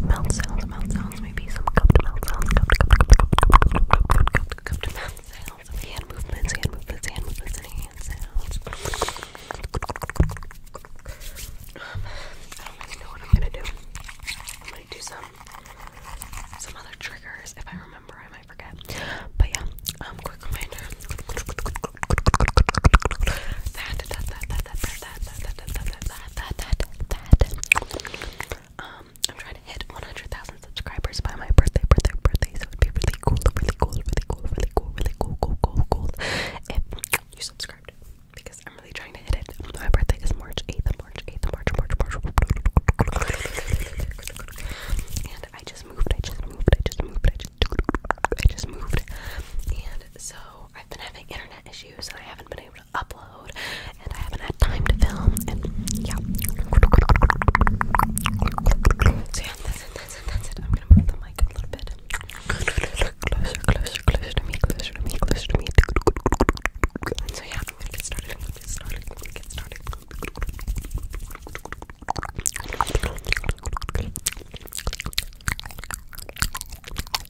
mouth sounds, mouth maybe some cupped mouth sounds, cupped, cupped, cupped, cupped, cupped, cupped, cupped, cupped, cupped, cupped mouth hand movements, hand hand movements, and hand sounds. Um, I don't really know what I'm gonna do. i do some some other triggers. If I remember, I might forget. But yeah, quick reminder. That that that that that that that that that that that that that that um I'm trying to hit 100,000 subscribers by my birthday, birthday, birthday. So it'd be really cool, really cool, really cool, really cool, really cool, cool, cool, cool. If you subscribed, because I'm really trying to hit it. My birthday is March 8th, March 8th, March, March, March. And I just moved, I just moved, I just moved, I just moved. And so I've been having internet issues, and I haven't been able upload, and I haven't had time to film, and yeah. So yeah, that's it, that's it, that's I'm gonna move the mic a bit. Closer, closer, closer to me, closer to me, closer to me. So yeah, I'm gonna get started.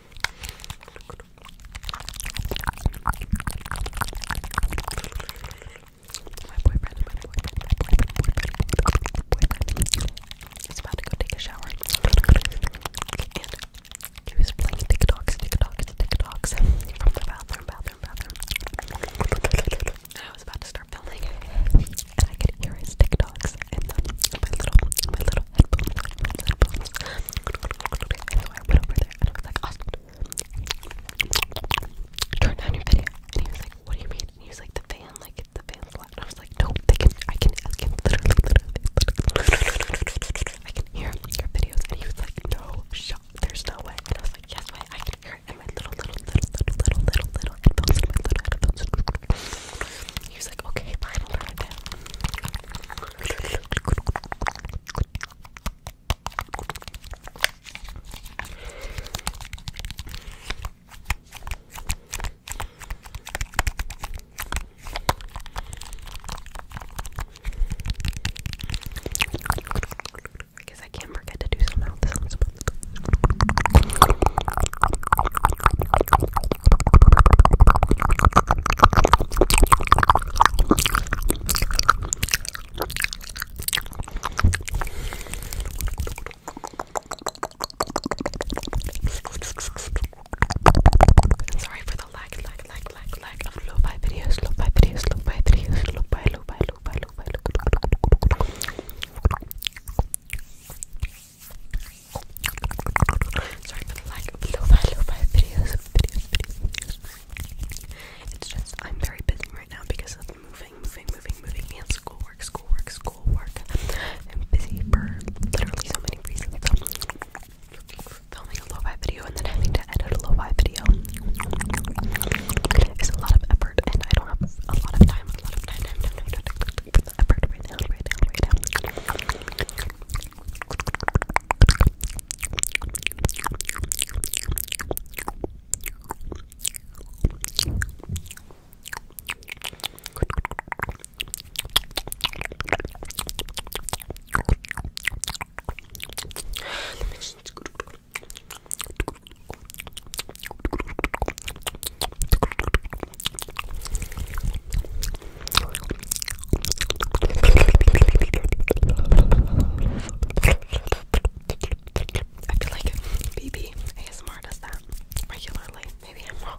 my boyfriend, about to go take a shower. he was playing TikToks, TikToks, TikToks I was about to start filming, and I could hear his TikToks in the, my little, my little headphones, And so I went over there and I was like, turn down your video. And he was like, what do you mean? And he was like, the fan, like, the fan's And I was like, no, can, I can, I can hear your videos. And he was like, no, there's no way. And I was like, yes, way, I can hear it. And my little, little, little, little, little, little, little headphones. He was like, okay, fine, I'll try it down. Because I, can't forget to do some Sorry for the lag, lag, lag, lag, lag of low fi videos, low fi videos, low fi videos, low fi, low fi, low fi, low fi, low fi. Sorry for the lack of lo-fi, videos, It's just, I'm very busy right now because of moving, moving, moving, moving, and schoolwork, schoolwork, schoolwork. I'm busy for literally so many reasons. Filming a lo-fi video and then having to edit a lo-fi video is a lot of effort, and I don't have a lot of time, a lot of time, actually for the effort right now, right now, right now. I feel like BB ASMR does that regularly. Maybe I'm wrong.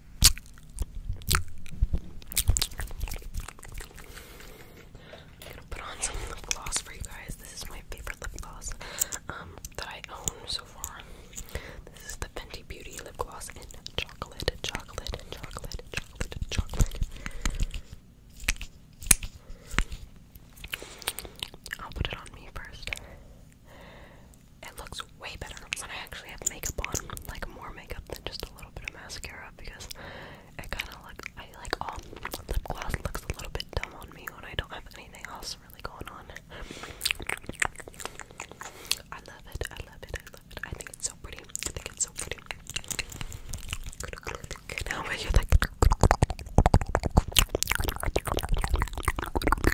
I'm gonna put on some gloss for you guys. This is my favorite lip gloss um, that I own so far. This is the Fenty Beauty lip gloss in chocolate, chocolate, chocolate, chocolate, chocolate. I'll put it on me first. It looks way better when I actually have makeup on, like more makeup than just a little bit of mascara because it kind of like I like all oh, lip gloss looks a little bit dumb on me when I don't have anything else really going on. I love it. I love it. I love it. I think it's so pretty. I think it's so pretty. Now you like.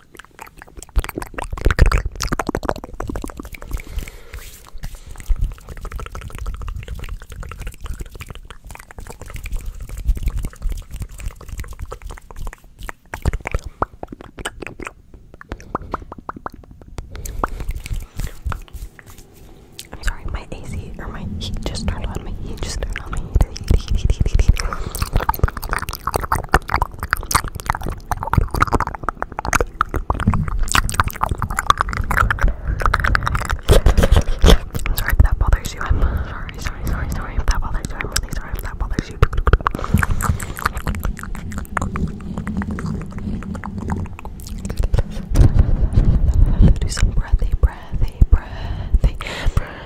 I'm sorry, my AC or my heat just turned on. My heat just turned on. My heat. heat, heat, heat, heat, heat. Sorry if that bothers you. I'm sorry, sorry, sorry, sorry if that bothers you. I'm really sorry if that bothers you. Do some breathy, breathy, breathy, breathy,